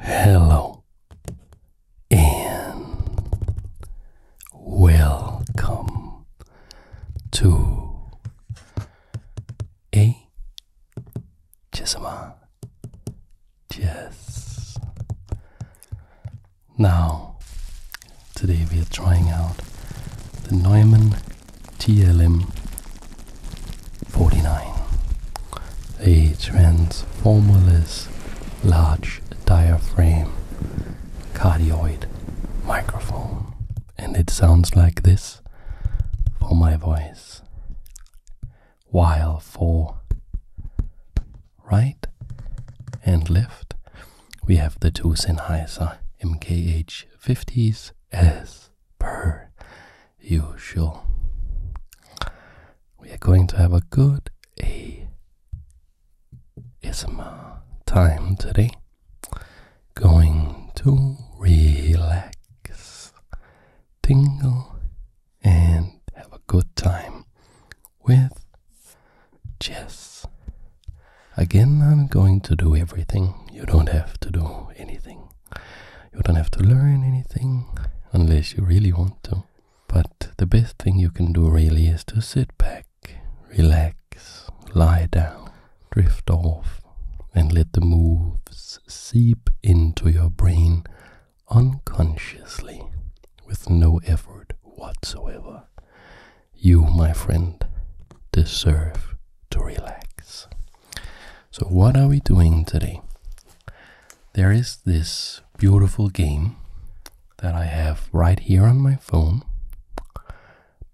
Hello and welcome to a Jessama Jess. Now, today we are trying out the Neumann TLM 49. A transformerless large diaphragm cardioid microphone. And it sounds like this for my voice, while for right and left we have the two Sennheiser MKH50s S. per usual. We are going to have a good a ASMR time today. Going to relax, tingle, and have a good time with chess. Again, I'm going to do everything. You don't have to do anything. You don't have to learn anything unless you really want to. But the best thing you can do really is to sit back, relax, lie down, drift off, and let the moves seep into your brain unconsciously with no effort whatsoever. You, my friend, deserve to relax. So, what are we doing today? there is this beautiful game that I have right here on my phone,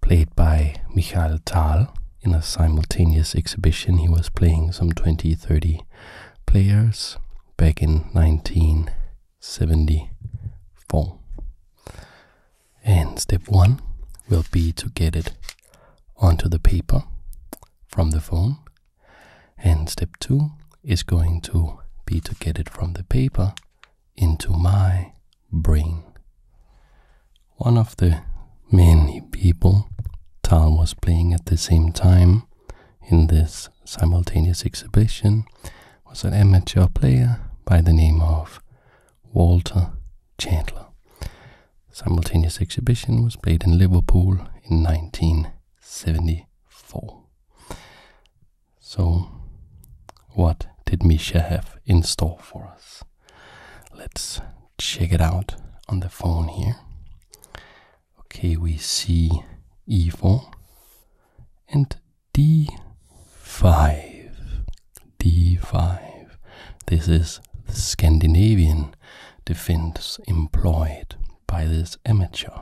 played by Michael Tal in a simultaneous exhibition. He was playing some 20, 30 players back in 1974. And step one will be to get it onto the paper from the phone and step two is going to be to get it from the paper into my brain. One of the many people Tal was playing at the same time in this simultaneous exhibition was an amateur player by the name of Walter Chandler. simultaneous exhibition was played in Liverpool in 19 74. So, what did Misha have in store for us? Let's check it out on the phone here. Okay, we see e4 and d5. d5. This is Scandinavian defense employed by this amateur.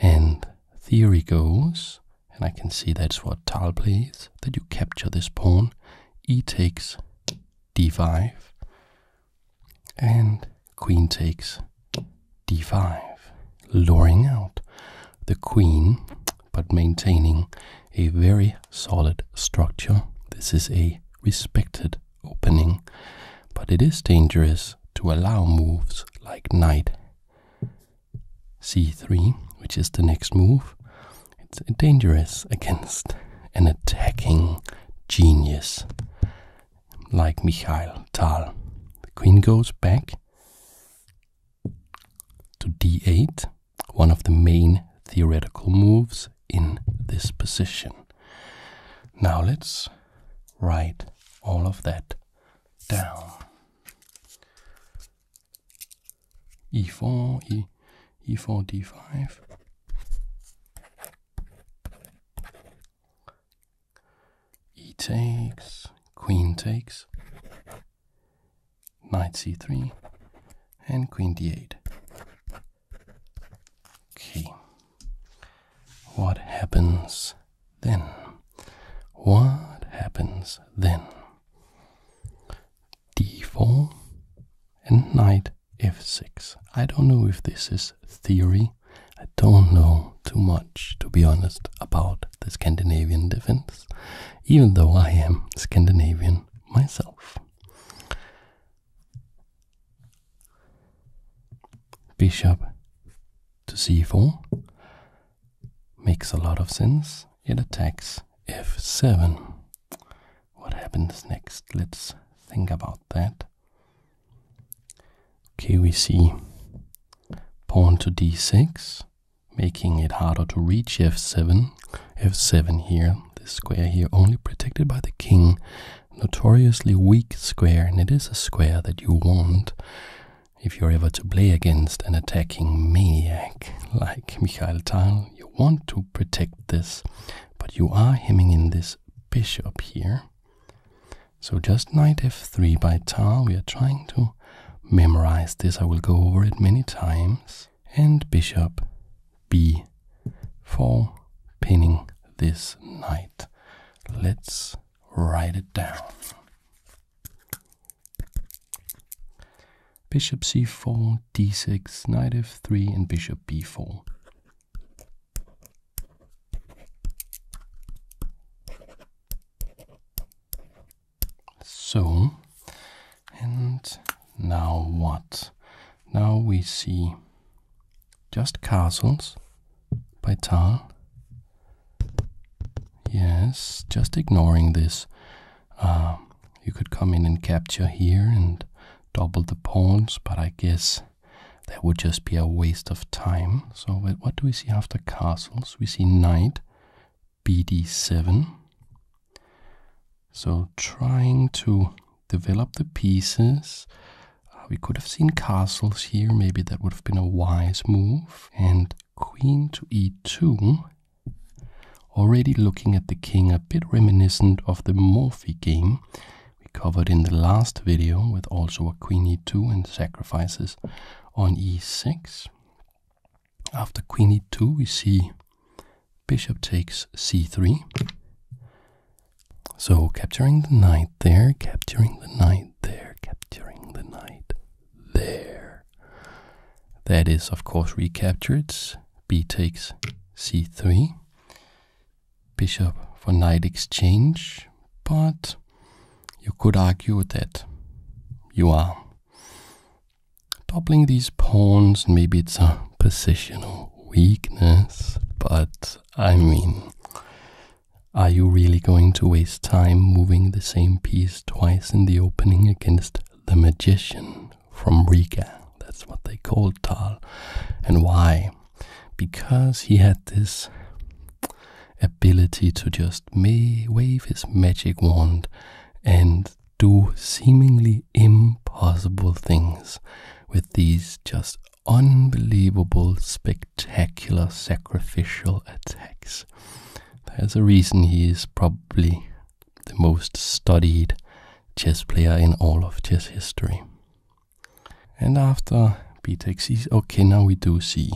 And theory goes, and I can see that's what Tal plays, that you capture this pawn, e takes d5, and queen takes d5, luring out the queen, but maintaining a very solid structure. This is a respected opening, but it is dangerous to allow moves like knight c3, which is the next move. It's dangerous against an attacking genius like Mikhail Tal. The queen goes back to d8, one of the main theoretical moves in this position. Now let's write all of that down. e4, e, 4 e d5. E takes, queen takes, knight c3, and queen d8. Okay. What happens then? What happens then? d4 and knight f6. I don't know if this is theory. I don't know too much, to be honest, about the Scandinavian defense, even though I am Scandinavian myself. Bishop to c4 makes a lot of sense. It attacks f7. What happens next? Let's think about that. Okay, we see pawn to d6, making it harder to reach f7. f7 here, this square here, only protected by the king notoriously weak square, and it is a square that you want if you're ever to play against an attacking maniac like Mikhail Tal. You want to protect this, but you are hemming in this bishop here. So just knight f3 by Tal, we are trying to memorize this. I will go over it many times. And bishop b4, pinning this knight. Let's write it down. Bishop c4, d6, knight f3, and bishop b4. So, and now what? Now we see just Castles by Tal. Yes, just ignoring this. Uh, you could come in and capture here and double the pawns, but I guess that would just be a waste of time. So what do we see after castles? We see knight, bd7. So trying to develop the pieces, uh, we could have seen castles here. Maybe that would have been a wise move. And queen to e2. Already looking at the king, a bit reminiscent of the Morphy game we covered in the last video, with also a queen e2 and sacrifices on e6. After queen e2, we see bishop takes c3. So capturing the knight there, capturing the knight there, capturing the knight there. That is, of course, recaptured. B takes c3. Bishop for knight exchange, but you could argue that you are doubling these pawns. Maybe it's a positional weakness, but I mean, are you really going to waste time moving the same piece twice in the opening against the magician from Riga? That's what they called Tal. And why? Because he had this ability to just wave his magic wand and do seemingly impossible things with these just unbelievable, spectacular sacrificial attacks. There's a reason he is probably the most studied chess player in all of chess history. And after b takes okay, now we do see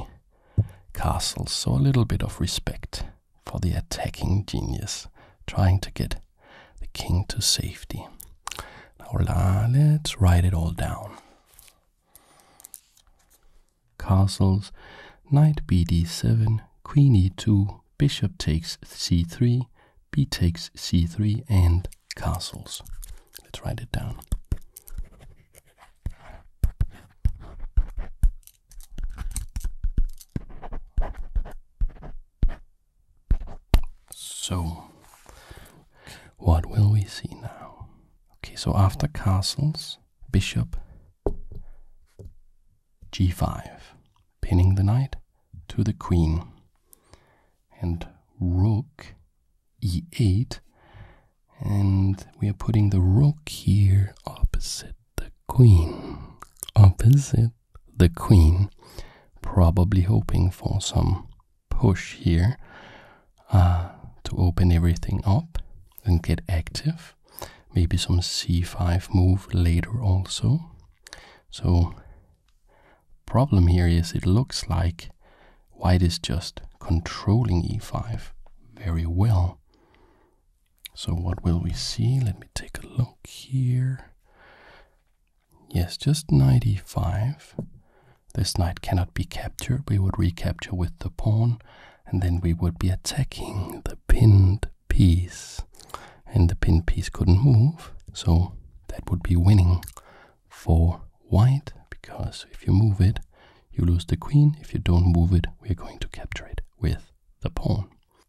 castles, so a little bit of respect for the attacking genius trying to get the king to safety. Now let's write it all down. Castles knight bd7, queen e2, bishop takes c3, b takes c3, and castles. Let's write it down. So, what will we see now? Okay, so after castles, bishop g5, pinning the knight to the queen, and rook e8, and we are putting the rook here opposite the queen, opposite the queen, probably hoping for some push here uh, to open everything up and get active. Maybe some c5 move later also. So problem here is it looks like white is just controlling e5 very well. So what will we see? Let me take a look here. Yes, just knight e5. This knight cannot be captured. We would recapture with the pawn, and then we would be attacking the pinned piece. And the pinned piece couldn't move, so that would be winning for white, because if you move it, you lose the queen. If you don't move it, we're going to capture it with the pawn.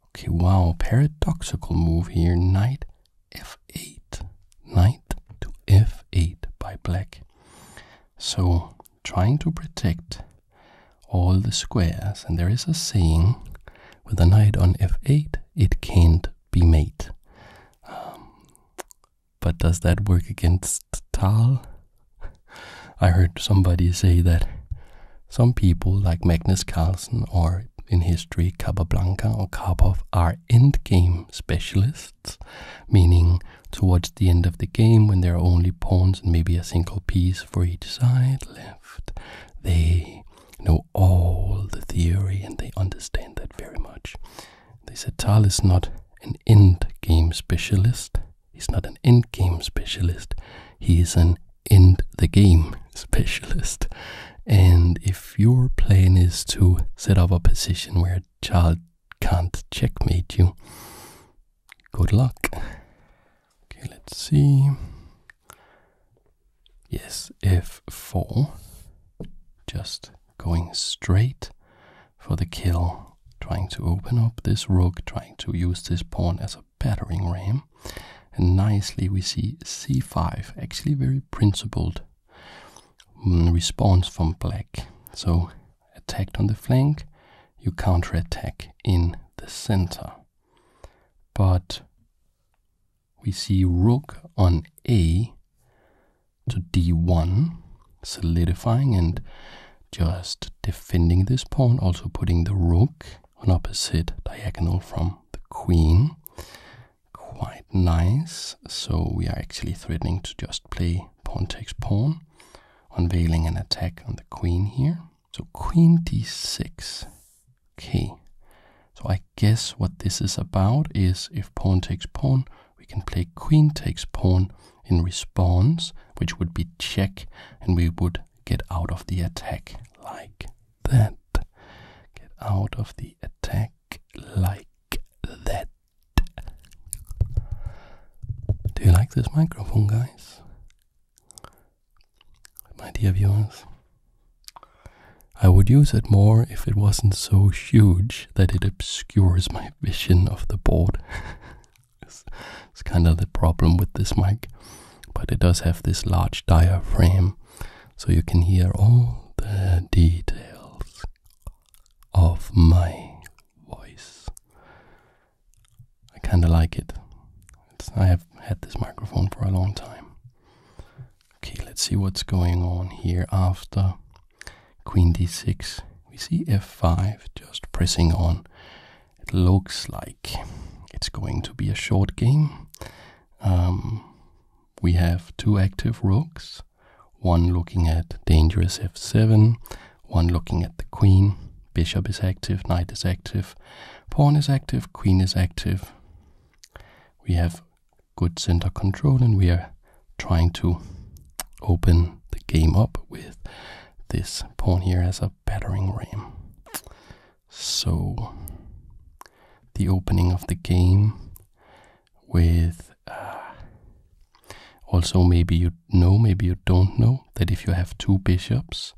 Okay, wow, paradoxical move here. Knight f 8 knight to f8 by black. So trying to protect all the squares, and there is a saying with a knight on f8 it can't be mate. Um, but does that work against Tal? I heard somebody say that some people like Magnus Carlsen or in history Capablanca or Karpov are endgame specialists meaning towards the end of the game when there are only pawns and maybe a single piece for each side left. They know all the theory and they understand that very much. They said Tal is not an end game specialist. He's not an end game specialist. He is an end the game specialist. And if your plan is to set up a position where a child can't checkmate you. Good luck. Okay, let's see. Yes, f4. Just going straight for the kill, trying to open up this rook, trying to use this pawn as a battering ram. And nicely we see c5, actually very principled Mm, response from black. So, attacked on the flank, you counterattack in the center. But we see rook on a to d1, solidifying and just defending this pawn, also putting the rook on opposite diagonal from the queen. Quite nice. So we are actually threatening to just play pawn takes pawn, unveiling an attack on the queen here. So queen d6. K. So I guess what this is about is if pawn takes pawn, we can play queen takes pawn in response, which would be check, and we would get out of the attack like that. Get out of the attack like that. Do you like this microphone, guys? My dear viewers, I would use it more if it wasn't so huge that it obscures my vision of the board. it's, kind of the problem with this mic, but it does have this large diaphragm so you can hear all the details of my voice. I kind of like it. I have had this microphone for a long time. Okay, let's see what's going on here after queen d6. We see f5 just pressing on. It looks like it's going to be a short game. Um, we have two active rooks one looking at dangerous f7, one looking at the queen. Bishop is active, knight is active, pawn is active, queen is active. We have good center control and we are trying to open the game up with this pawn here as a battering ram. So, the opening of the game with uh, also maybe you know, maybe you don't know that if you have two bishops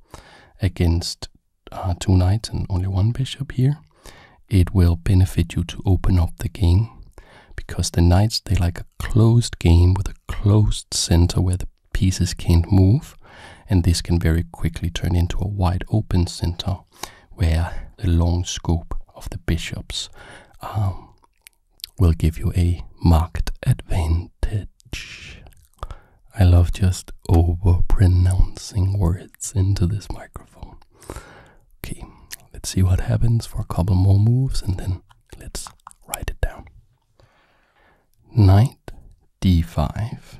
against uh, two knights and only one bishop here, it will benefit you to open up the game because the knights they like a closed game with a closed center where the pieces can't move, and this can very quickly turn into a wide open center where the long scope of the bishops um, will give you a marked advantage. I love just over pronouncing words into this microphone. Okay, let's see what happens for a couple more moves and then let's write it down. Knight d5.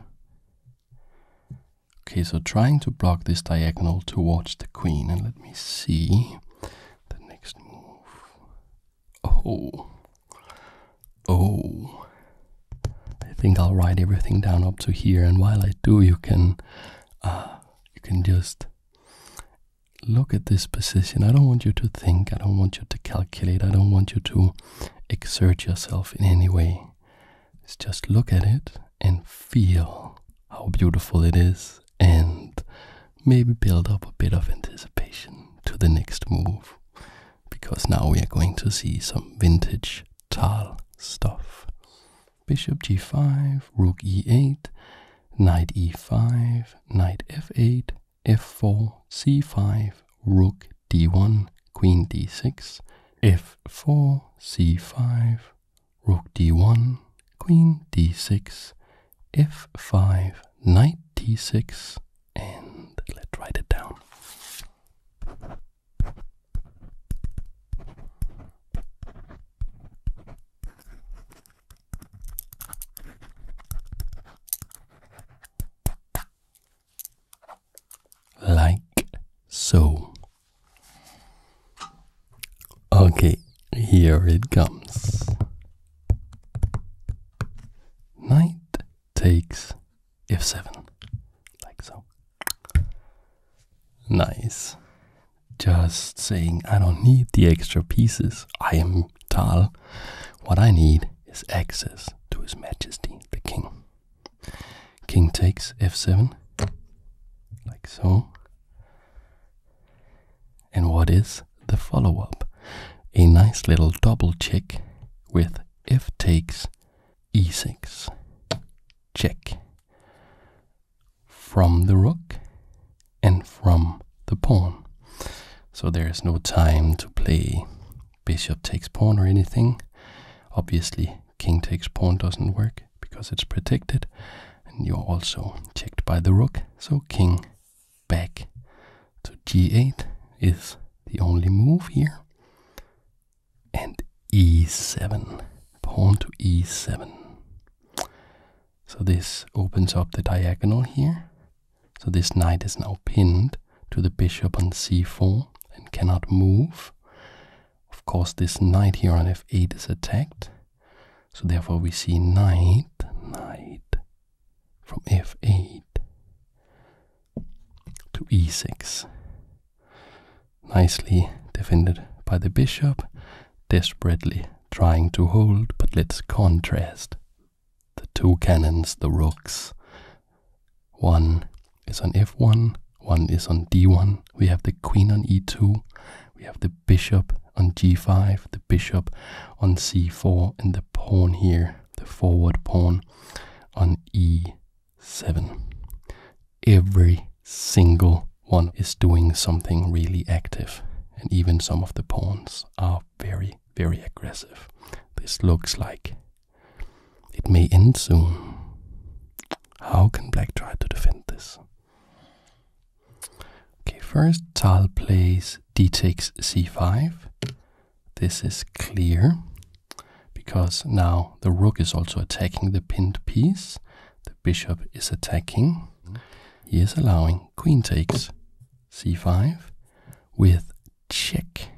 Okay, so trying to block this diagonal towards the queen, and let me see the next move. Oh. Oh. I think I'll write everything down up to here and while I do you can uh, you can just look at this position. I don't want you to think, I don't want you to calculate, I don't want you to exert yourself in any way. just look at it and feel how beautiful it is and maybe build up a bit of anticipation to the next move because now we are going to see some vintage Tal stuff. Bishop g5, rook e8, knight e5, knight f8, f4, c5, rook d1, queen d6, f4, c5, rook d1, queen d6, f5, knight d6, and let's write it down. Like so. Okay, here it comes. Knight takes f7, like so. Nice. Just saying, I don't need the extra pieces. I am Tal. What I need is access to His Majesty the King. King takes f7, like so. And what is the follow up? A nice little double check with f takes e6. Check. From the rook and from the pawn. So there is no time to play bishop takes pawn or anything. Obviously, king takes pawn doesn't work because it's protected and you're also checked by the rook. So king back to g8 is the only move here. And e7, pawn to e7. So this opens up the diagonal here. So this knight is now pinned to the bishop on c4 and cannot move. Of course, this knight here on f8 is attacked. So therefore we see knight, knight from f8 to e6. Nicely defended by the bishop, desperately trying to hold, but let's contrast the two cannons, the rooks. One is on f1, one is on d1. We have the queen on e2, we have the bishop on g5, bishop on c4 and the pawn here, the forward pawn on e7. Every single one is doing something really active, and even some of the pawns are very, very aggressive. This looks like it may end soon. How can black try to defend this? Okay, first Tal plays d takes c5. This is clear because now the rook is also attacking the pinned piece. The bishop is attacking. He is allowing queen takes c5 with check,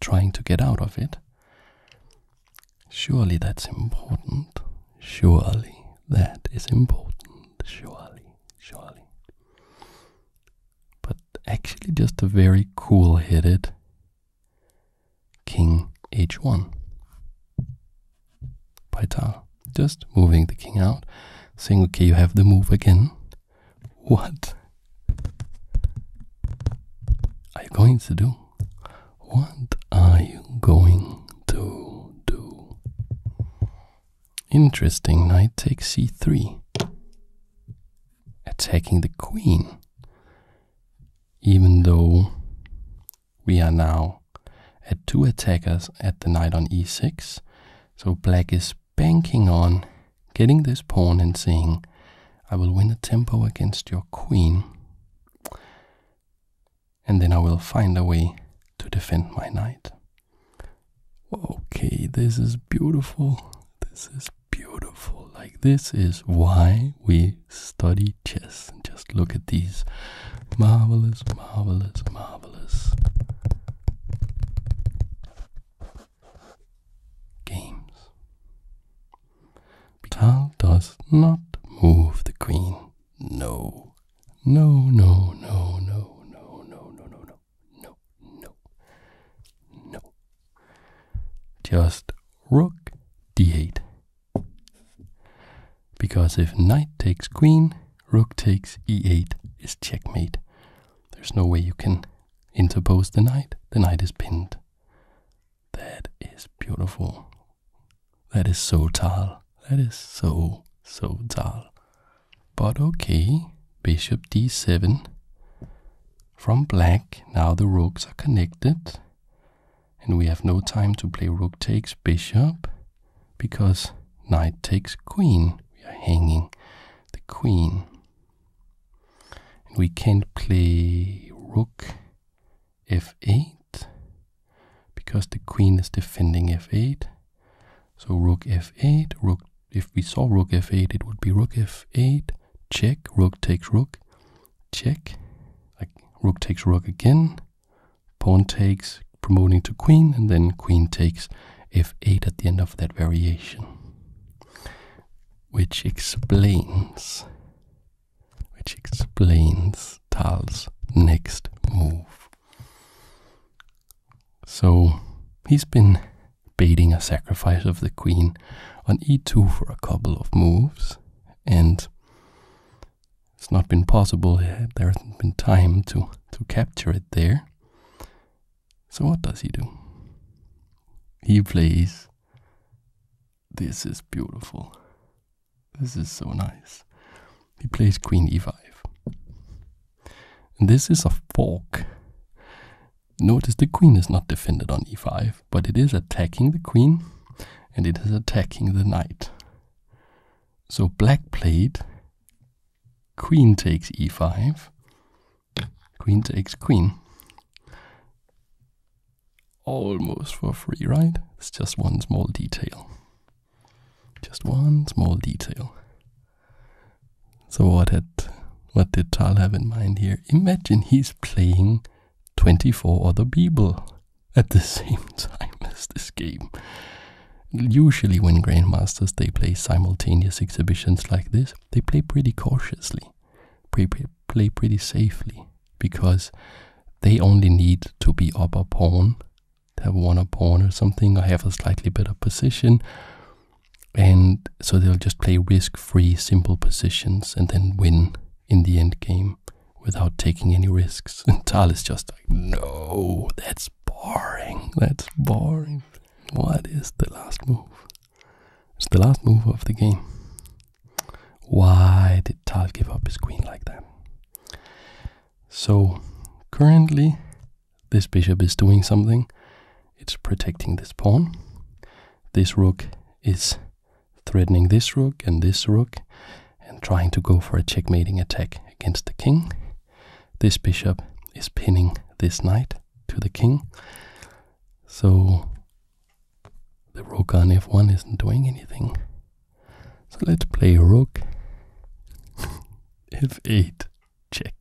trying to get out of it. Surely that's important. Surely that is important surely, surely. But actually, just a very cool headed king h1 by Just moving the king out, saying, okay, you have the move again. What are you going to do? What are you going to do? Interesting, knight takes c3. Attacking the queen. Even though we are now at two attackers at the knight on e6. So black is banking on getting this pawn and saying, I will win a tempo against your queen and then I will find a way to defend my knight. Okay, this is beautiful. This is beautiful. Like, this is why we study chess. Just look at these marvelous, marvelous, marvelous games. Tal does not move the queen no. No, no, no, no, no, no, no, no, no, no, no, Just rook d8. Because if knight takes queen, rook takes e8 is checkmate. There's no way you can interpose the knight. The knight is pinned. That is beautiful. That is so dull. That is so, so dull. But okay, bishop d7. From black, now the rooks are connected. And we have no time to play rook takes bishop because knight takes queen. We are hanging the queen. And we can't play rook f8 because the queen is defending f8. So rook f8, rook if we saw rook f8, it would be rook f8, check, rook takes rook, check, like rook takes rook again, pawn takes, promoting to queen, and then queen takes f8 at the end of that variation. Which explains, which explains Tal's next move. So he's been baiting a sacrifice of the queen on e2 for a couple of moves, and it's not been possible. Eh, there hasn't been time to, to capture it there. So what does he do? He plays. This is beautiful. This is so nice. He plays queen e5. this is a fork. Notice the queen is not defended on e5, but it is attacking the queen and it is attacking the knight. So black played queen takes e5, queen takes queen. Almost for free, right? It's just one small detail. Just one small detail. So what had what did Tal have in mind here? Imagine he's playing 24 other people at the same time as this game. Usually when grandmasters they play simultaneous exhibitions like this, they play pretty cautiously, play pretty safely because they only need to be up a pawn have won a pawn or something, or have a slightly better position. And so they'll just play risk free, simple positions and then win in the end game without taking any risks. And Tal is just like, no, that's boring. That's boring. What is the last move? It's the last move of the game. Why did Tal give up his queen like that? So currently, this bishop is doing something. It's protecting this pawn. This rook is threatening this rook and this rook and trying to go for a checkmating attack against the king. This bishop is pinning this knight to the king. So the rook on f1 isn't doing anything. So let's play rook f8 check.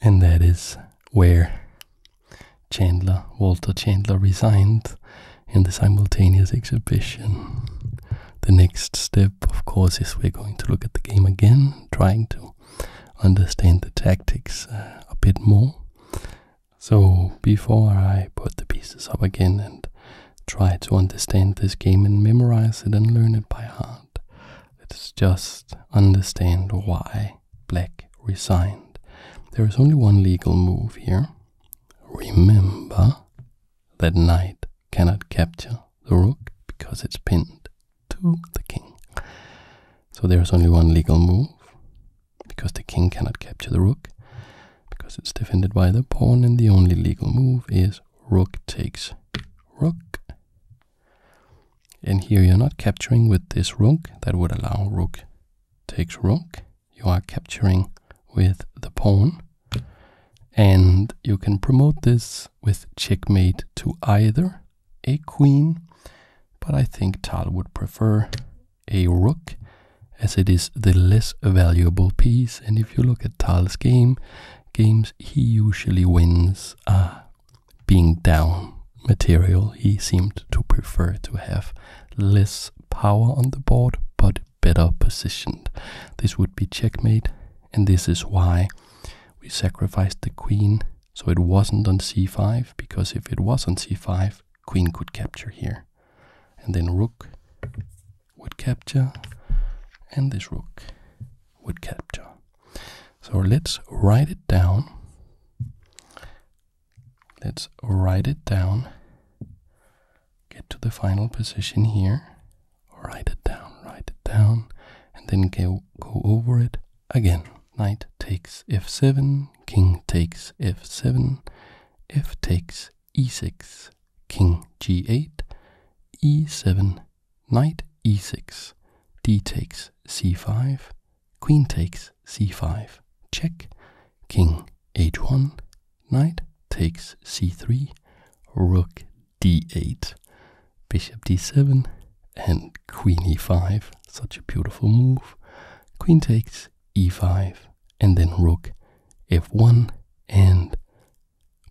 And that is where Chandler, Walter Chandler resigned in the simultaneous exhibition. The next step, of course, is we're going to look at the game again, trying to understand the tactics uh, a bit more. So before I put the pieces up again and try to understand this game and memorize it and learn it by heart. Let's just understand why black resigned. There is only one legal move here. Remember that knight cannot capture the rook because it's pinned to the king. So there is only one legal move because the king cannot capture the rook because it's defended by the pawn and the only legal move is rook takes rook. And here you're not capturing with this rook, that would allow rook takes rook. You are capturing with the pawn. And you can promote this with checkmate to either a queen, but I think Tal would prefer a rook as it is the less valuable piece. And if you look at Tal's game, games he usually wins are uh, being down material. He seemed to prefer to have less power on the board but better positioned. This would be checkmate, and this is why we sacrificed the queen so it wasn't on c5 because if it was on c5, queen could capture here. And then rook would capture and this rook would capture. So let's write it down. Let's write it down. Get to the final position here. Write it down, write it down, and then go, go over it again. Knight takes f7, king takes f7, f takes e6, king g8, e7, knight e6, d takes c5, queen takes c5, check, king h1, knight takes c3, rook d8, bishop d7, and queen e5, such a beautiful move, queen takes e5, and then rook f1, and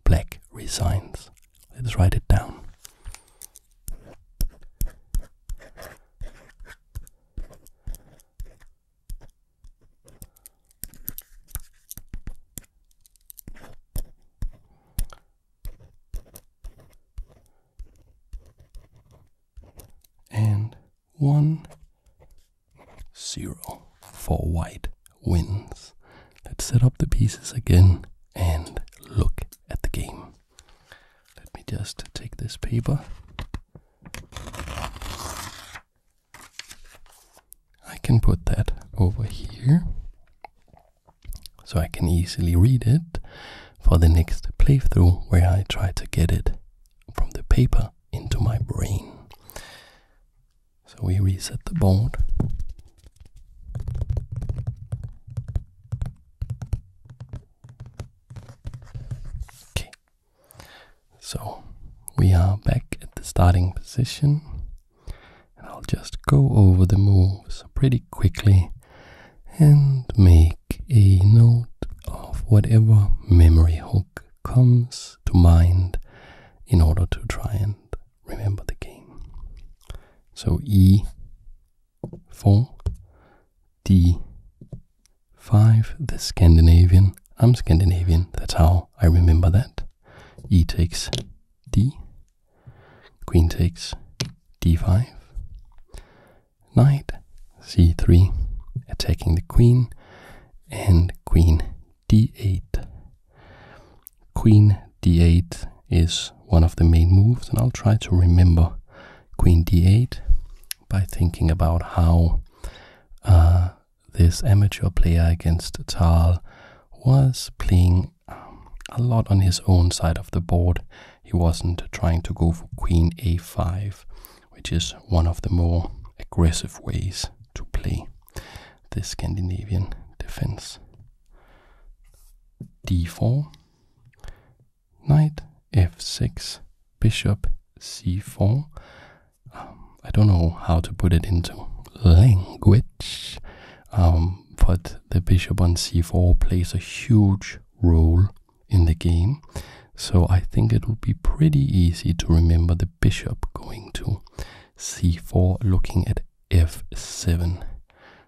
Black resigns. Let's write it down. And one zero for white wins. Let's set up the pieces again and look at the game. Let me just take this paper. I can put that over here so I can easily read it for the next playthrough where I try to get it from the paper into my brain. So we reset the board. Okay. So we are back at the starting position. And I'll just go over the moves pretty quickly and make a note of whatever memory hook comes to mind in order to try and remember the game. So e4, d5, the Scandinavian. I'm Scandinavian, that's how I remember that. e takes d, queen takes d5, knight c3, attacking the queen, and queen d8. Queen d8 is one of the main moves, and I'll try to remember Queen d8 by thinking about how uh, this amateur player against Tal was playing um, a lot on his own side of the board. He wasn't trying to go for Queen a5, which is one of the more aggressive ways to play the Scandinavian defense. d4, knight f6, bishop c4. Um, I don't know how to put it into language, um, but the bishop on c4 plays a huge role in the game. So I think it would be pretty easy to remember the bishop going to c4, looking at f7,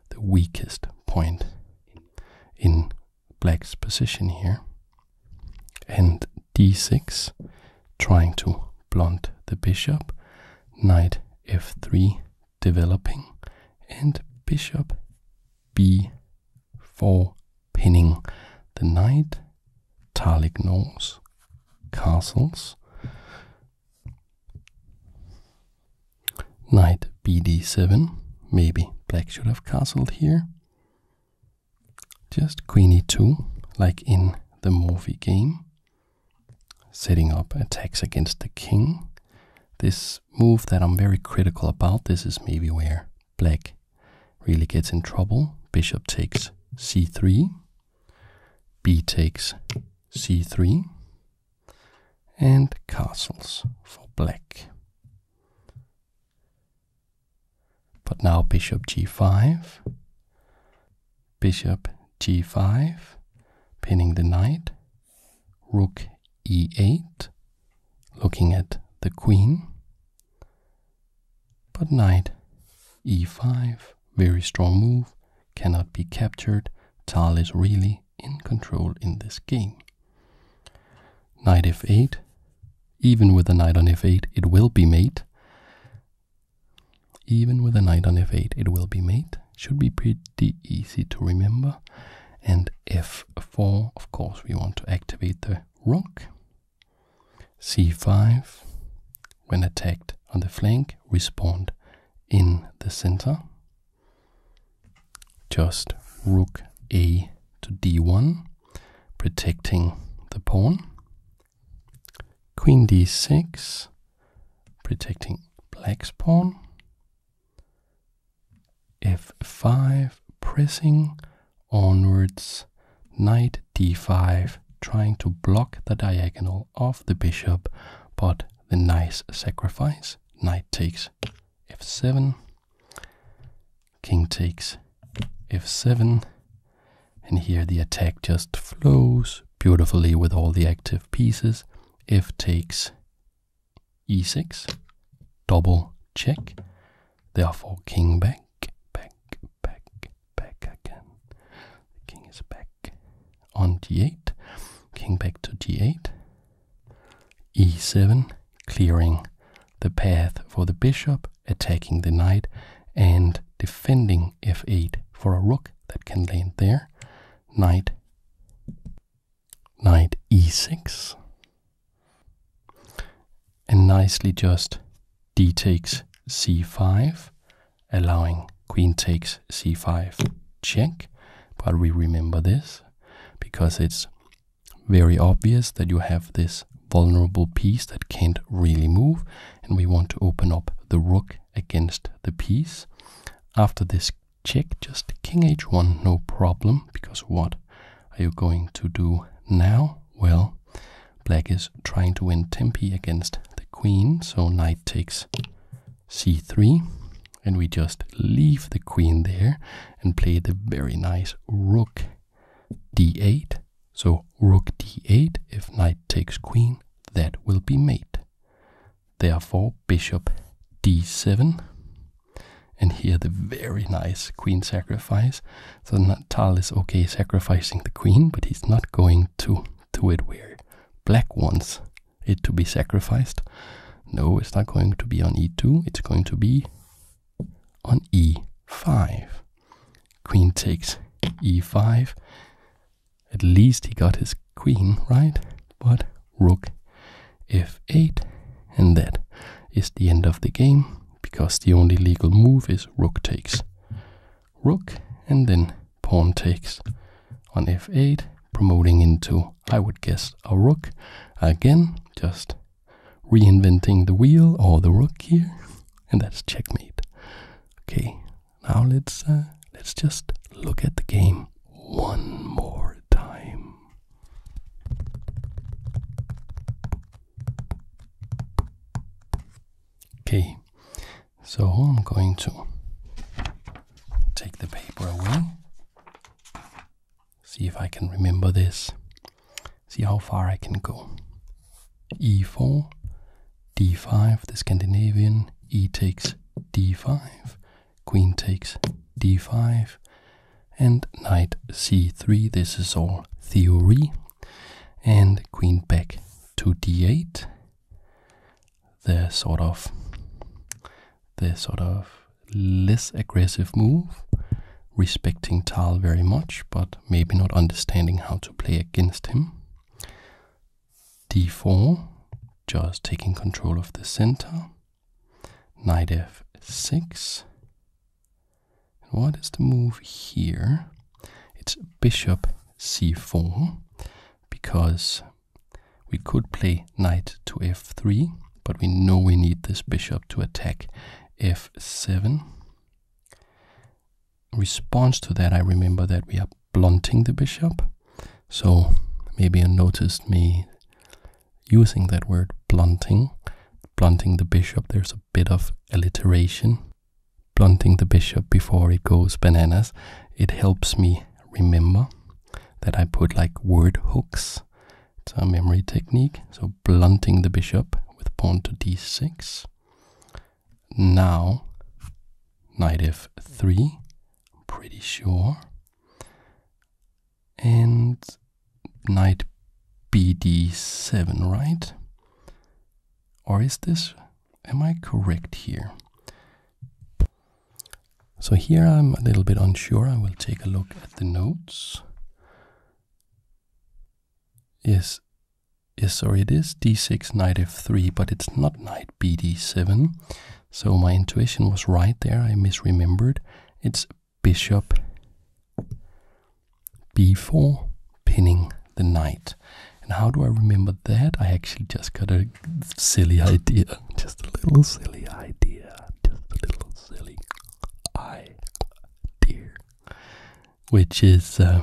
the weakest point in black's position here, and d6, trying to blunt the bishop, knight f3 developing, and bishop b4 pinning the knight, Tal knows castles, Knight bd7. Maybe black should have castled here. Just queen e2, like in the Morphy game. Setting up attacks against the king. This move that I'm very critical about, this is maybe where black really gets in trouble. Bishop takes c3 b takes c3, and castles for black. But now bishop g5, bishop g5, pinning the knight, rook e8, looking at the queen, but knight e5, very strong move, cannot be captured. Tal is really in control in this game. Knight f8, even with a knight on f8, it will be mate. Even with a knight on f8, it will be mate. Should be pretty easy to remember. And f4, of course, we want to activate the rook. c5, when attacked on the flank, respond in the center. Just rook a to d1, protecting the pawn. Queen d6, protecting black's pawn. f5, pressing onwards. Knight d5, trying to block the diagonal of the bishop, but the nice sacrifice. Knight takes f7, king takes f7, and here the attack just flows beautifully with all the active pieces. f takes e6, double check, therefore king back, back, back, back again. The king is back on d8. King back to d8. e7, clearing the path for the bishop, attacking the knight, and defending f8 for a rook that can land there. Knight, knight e6. And nicely just d takes c5 allowing queen takes c5 check. But we remember this because it's very obvious that you have this vulnerable piece that can't really move, and we want to open up the rook against the piece. After this check, just king h1, no problem, because what are you going to do now? Well, black is trying to win tempi against the queen, so knight takes c3, and we just leave the queen there and play the very nice rook d8. So rook d8, if knight takes queen, that will be mate. Therefore, bishop d7, and here the very nice queen sacrifice. So Natal is okay sacrificing the queen, but he's not going to to it where black wants it to be sacrificed. No, it's not going to be on e2, it's going to be on e5. Queen takes e5. At least he got his queen, right? But rook f8, and that is the end of the game because the only legal move is rook takes rook, and then pawn takes on f8, promoting into, I would guess, a rook. Again, just reinventing the wheel or the rook here, and that's checkmate. Okay, now let's uh, let's just look at the game one more time. Okay, so I'm going to take the paper away. See if I can remember this. See how far I can go. e4, d5, the Scandinavian, e takes d5, queen takes d5, and knight c3. This is all theory. And queen back to d8, the sort of the sort of less aggressive move, respecting Tal very much, but maybe not understanding how to play against him. d4, just taking control of the center. Knight f6. What is the move here? It's bishop c4, because we could play knight to f3, but we know we need this bishop to attack f7. response to that, I remember that we are blunting the bishop, so maybe you noticed me using that word blunting, blunting the bishop. There's a bit of alliteration blunting the bishop before it goes bananas, it helps me remember that I put like word hooks. It's a memory technique. So blunting the bishop with pawn to d6. Now, knight f3, pretty sure. And knight bd7, right? Or is this, am I correct here? So here I'm a little bit unsure. I will take a look at the notes. Yes, yes, sorry, it is d6, knight f3, but it's not knight bd7. So my intuition was right there. I misremembered. It's bishop b4, pinning the knight. And how do I remember that? I actually just got a silly idea. Just a little silly idea. Just a little silly idea. Which is uh,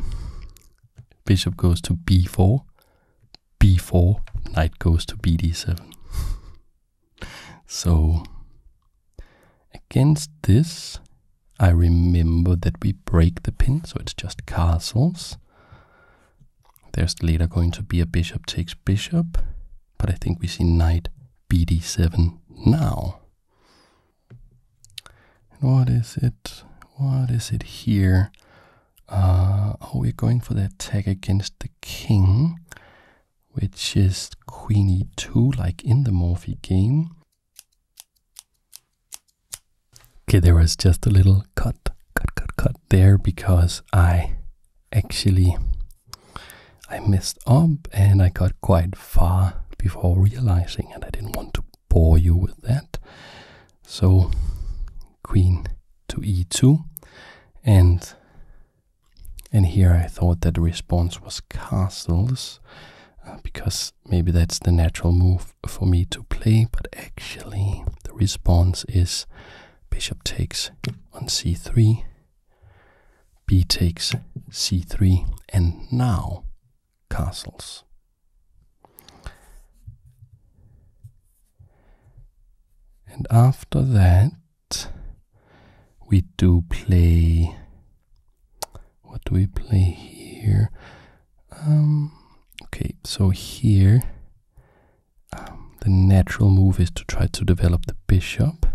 bishop goes to b4, b4, knight goes to bd7. so against this, I remember that we break the pin, so it's just castles. There's later going to be a bishop takes bishop, but I think we see knight bd7 now. what is it? What is it here? Uh, oh, we're going for the attack against the king, which is queen e2, like in the Morphy game. Okay, there was just a little cut, cut, cut, cut there because I actually I messed up and I got quite far before realizing and I didn't want to bore you with that. So queen to e2 and and here I thought that the response was castles uh, because maybe that's the natural move for me to play, but actually the response is bishop takes on c3, b takes c3, and now castles. And after that, we do play. What do we play here? Um, okay, so here um, the natural move is to try to develop the bishop.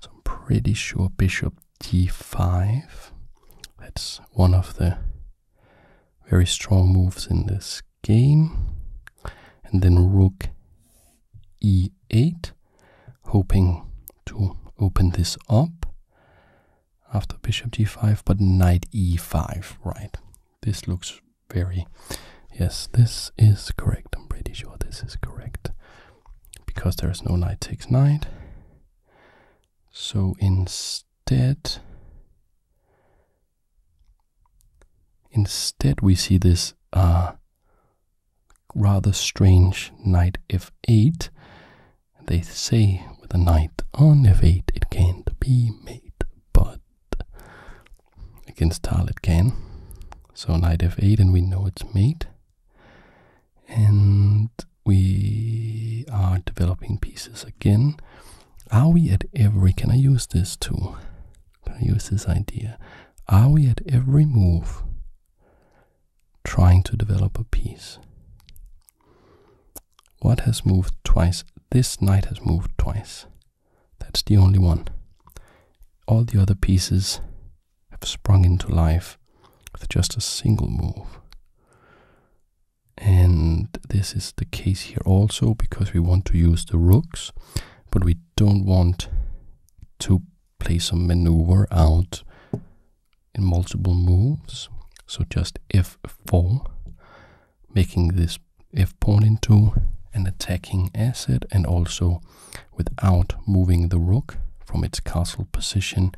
So I'm pretty sure bishop d5. That's one of the very strong moves in this game. And then rook e8, hoping to open this up after bishop g5, but knight e5, right? This looks very. Yes, this is correct. I'm pretty sure this is correct. Because there is no knight takes knight. So instead. Instead, we see this ah rather strange knight f8. They say with a knight on f8 it can't be mate but against tile it can. So knight f8, and we know it's mate. And we are developing pieces again. Are we at every? Can I use this too? Can I use this idea? Are we at every move trying to develop a piece? What has moved twice? This knight has moved twice. That's the only one. All the other pieces have sprung into life with just a single move. And this is the case here also because we want to use the rooks, but we don't want to play some maneuver out in multiple moves. So just f4 making this f pawn into an attacking asset and also without moving the rook from its castle position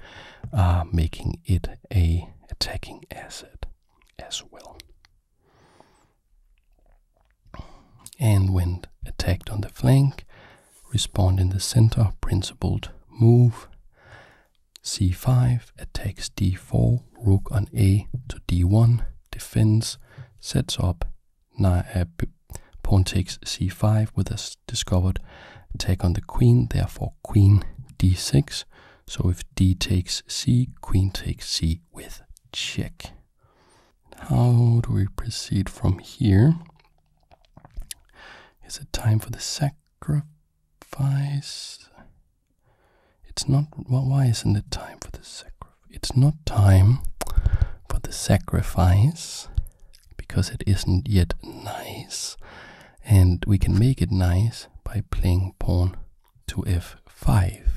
uh, making it a attacking asset as well and when attacked on the flank respond in the center principled move c5, attacks d4, rook on a to d1, defends, sets up, uh, pawn takes c5 with a discovered take on the queen, therefore queen d6. So if d takes c, queen takes c with check. How do we proceed from here? Is it time for the sacrifice? It's not. why isn't it time for the sacrifice? It's not time for the sacrifice because it isn't yet nice, and we can make it nice by playing pawn to f5.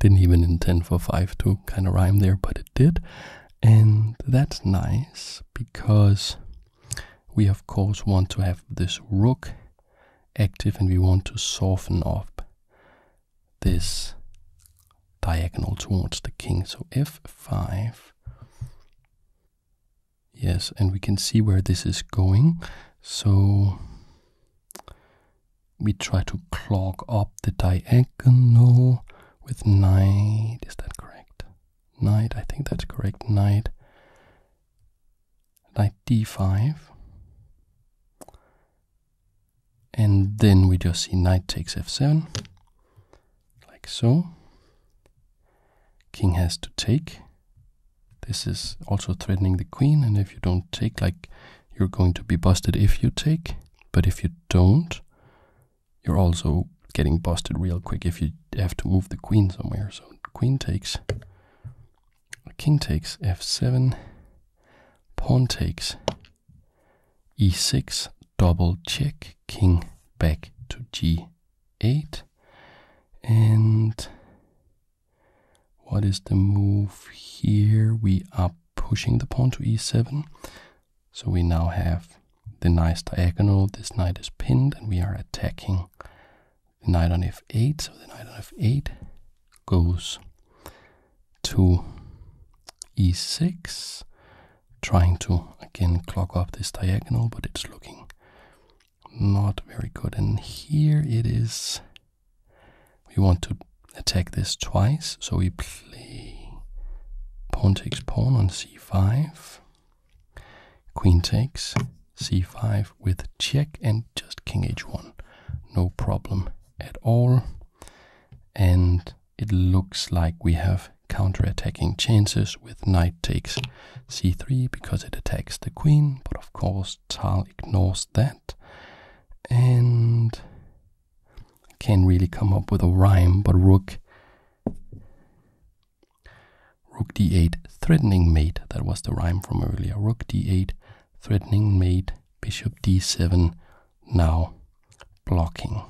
Didn't even intend for 5 to kind of rhyme there, but it did. And that's nice because we, of course, want to have this rook active and we want to soften up this diagonal towards the king. So f5. Yes, and we can see where this is going. So we try to clog up the diagonal with knight. Is that correct? Knight, I think that's correct. Knight knight d5 and then we just see knight takes f7 like so king has to take this is also threatening the queen and if you don't take like you're going to be busted if you take but if you don't you're also getting busted real quick if you have to move the queen somewhere so queen takes king takes f7, pawn takes e6, double check, king back to g8. And what is the move here? We are pushing the pawn to e7. So we now have the nice diagonal. This knight is pinned, and we are attacking the knight on f8, so the knight on f8 goes to e6, trying to again clog up this diagonal, but it's looking not very good. And here it is, we want to attack this twice, so we play pawn takes pawn on c5, queen takes c5 with check and just king h1. No problem at all. And it looks like we have counterattacking chances with knight takes c3 because it attacks the queen, but of course Tal ignores that and can really come up with a rhyme, but rook rook d8 threatening mate, that was the rhyme from earlier, rook d8 threatening mate bishop d7 now blocking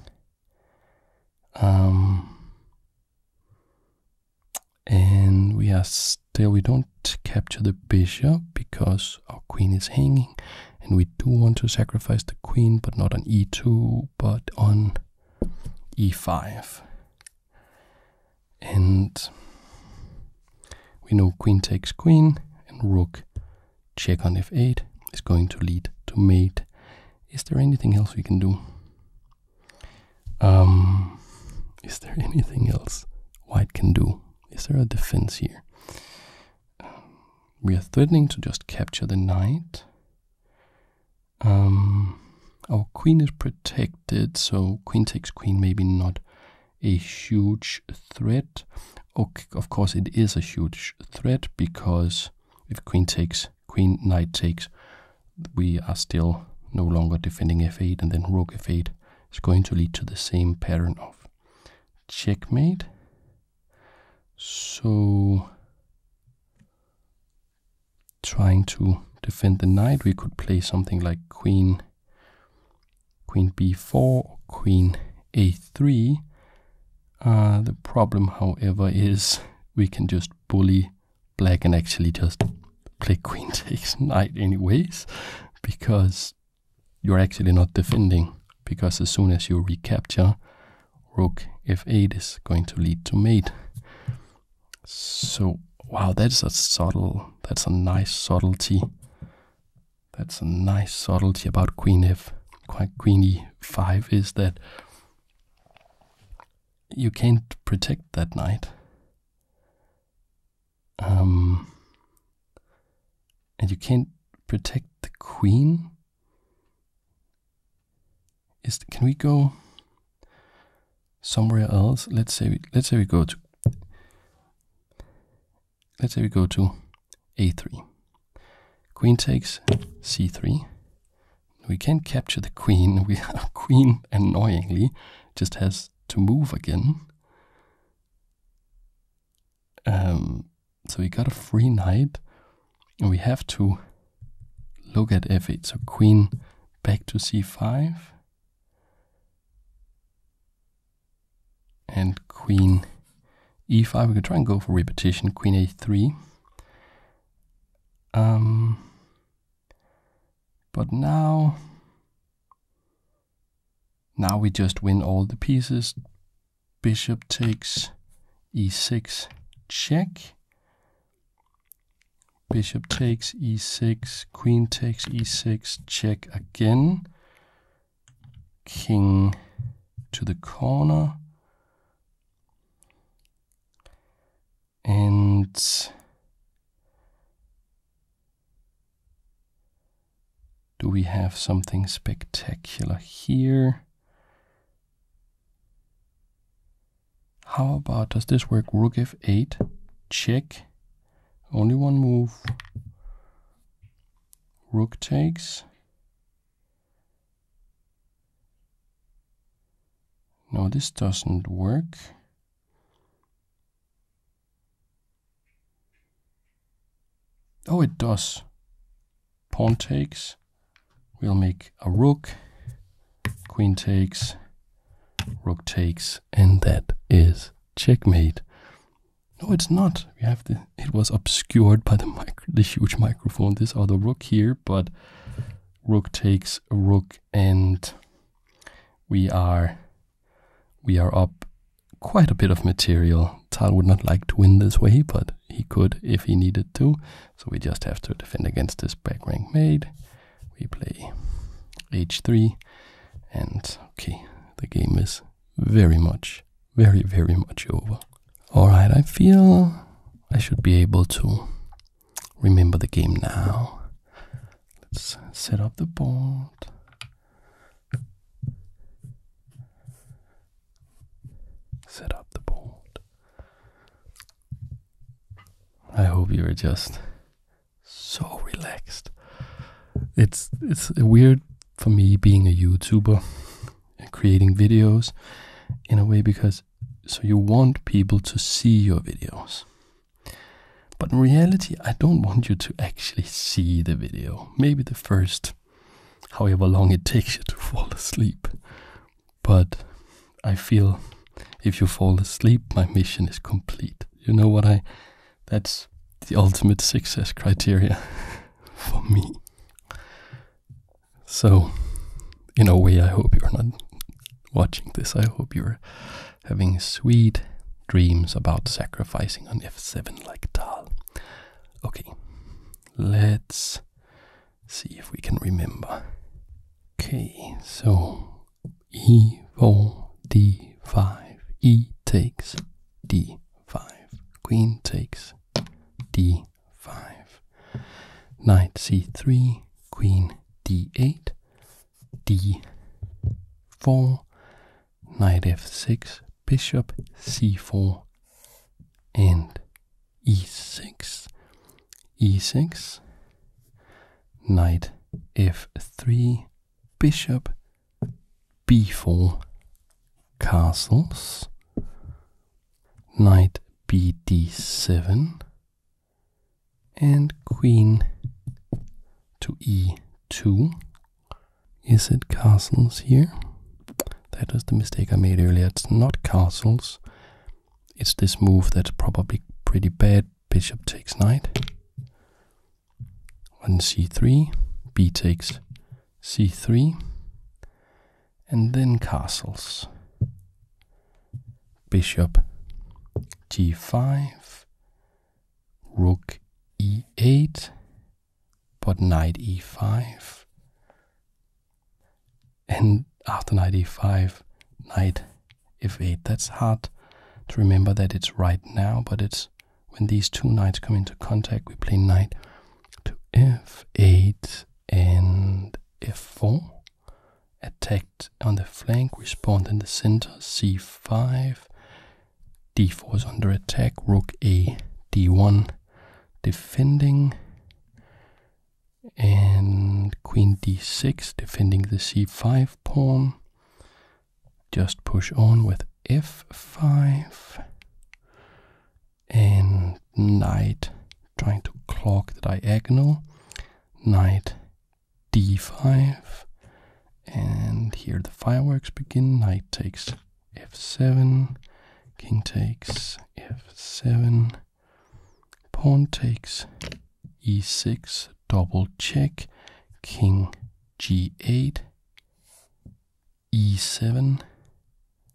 um, and we are still we don't capture the bishop because our queen is hanging and we do want to sacrifice the queen but not on e2 but on e5 and we know queen takes queen and rook check on f8 is going to lead to mate. Is there anything else we can do? Um, is there anything else white can do? Is there a defense here? we are threatening to just capture the knight. Um, our queen is protected, so queen takes queen, maybe not a huge threat. of course, it is a huge threat because if queen takes, queen knight takes, we are still no longer defending f8, and then rook f8 is going to lead to the same pattern of checkmate. So, trying to defend the knight, we could play something like queen queen b4 queen a3. Uh, the problem, however, is we can just bully black and actually just play queen takes knight anyways, because you're actually not defending, because as soon as you recapture, rook f8 is going to lead to mate. So, wow, that's a subtle that's a nice subtlety. That's a nice subtlety about Queen F. Queen E5 is that you can't protect that knight. Um, and you can't protect the queen. Is can we go? somewhere else. Let's say we, let's say we go to let's say we go to a3. Queen takes c3. We can't capture the queen. We our queen annoyingly just has to move again. Um, so we got a free knight, we have to look at f8. So queen back to c5 and queen e5. We could try and go for repetition. Queen a3. Um, but now, now we just win all the pieces. Bishop takes e6 check. Bishop takes e6 queen takes e6, check again, king to the corner, and do we have something spectacular here? How about does this work? Rook f8, check, only one move. Rook takes. No, this doesn't work. Oh, it does. Pawn takes. We'll make a rook. Queen takes. Rook takes. And that is Checkmate. No, it's not. We have the. It was obscured by the micro, the huge microphone. This other rook here, but rook takes rook, and we are, we are up quite a bit of material. Tal would not like to win this way, but he could if he needed to. So we just have to defend against this back rank mate we play h3 and okay the game is very much very very much over all right i feel i should be able to remember the game now let's set up the board set up the board i hope you're just so relaxed. It's it's weird for me being a YouTuber and creating videos in a way because so you want people to see your videos. But in reality, I don't want you to actually see the video. Maybe the first however long it takes you to fall asleep. But I feel if you fall asleep, my mission is complete. You know what I that's the ultimate success criteria for me. So, in a way, I hope you're not watching this. I hope you're having sweet dreams about sacrificing on f7 like Tal. Okay, let's see if we can remember. Okay, so e4, d5, e takes, d5, queen takes, d5, knight c3, queen d8, d4, knight f6, bishop c4, and e6, e6, knight f3, bishop b4 castles, knight bd7, and queen to e2. Is it castles here? That is the mistake I made earlier. It's not castles. It's this move that's probably pretty bad. Bishop takes knight one c3, b takes c3, and then castles. Bishop g5, rook e8, but knight e5. And after knight e5, knight f8. That's hard to remember that it's right now, but it's when these two knights come into contact, we play knight to f8 and f4. Attacked on the flank, respond in the center, c5. d4 is under attack, rook a, d1 defending. And queen d6 defending the c5 pawn just push on with f5 and knight trying to clock the diagonal knight d5 and here the fireworks begin knight takes f7 king takes f7 pawn takes e6 double check king g8, e7,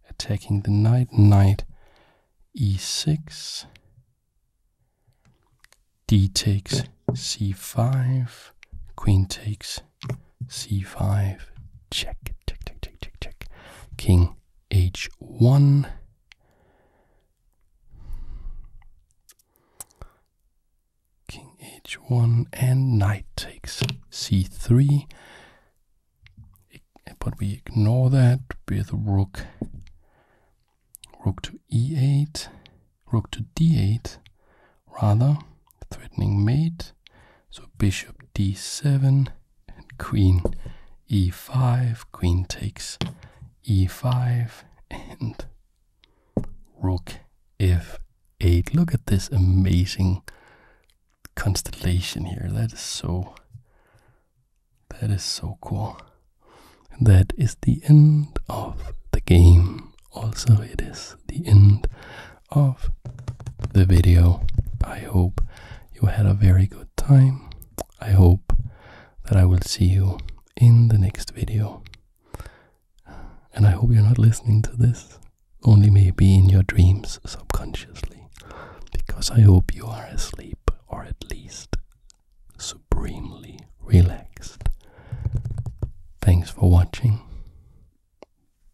attacking the knight, knight e6, d takes c5, queen takes c5, check, check, check, check, check, check, king h1, King h1 and knight takes c3. But we ignore that with rook rook to e8, rook to d8, rather threatening mate. So bishop d7 and queen e5, queen takes e5 and rook f8. Look at this amazing constellation here. That is so that is so cool. that is the end of the game. Also, it is the end of the video. I hope you had a very good time. I hope that I will see you in the next video. And I hope you're not listening to this, only maybe in your dreams subconsciously, because I hope you are asleep or at least supremely relaxed. Thanks for watching.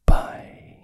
Bye.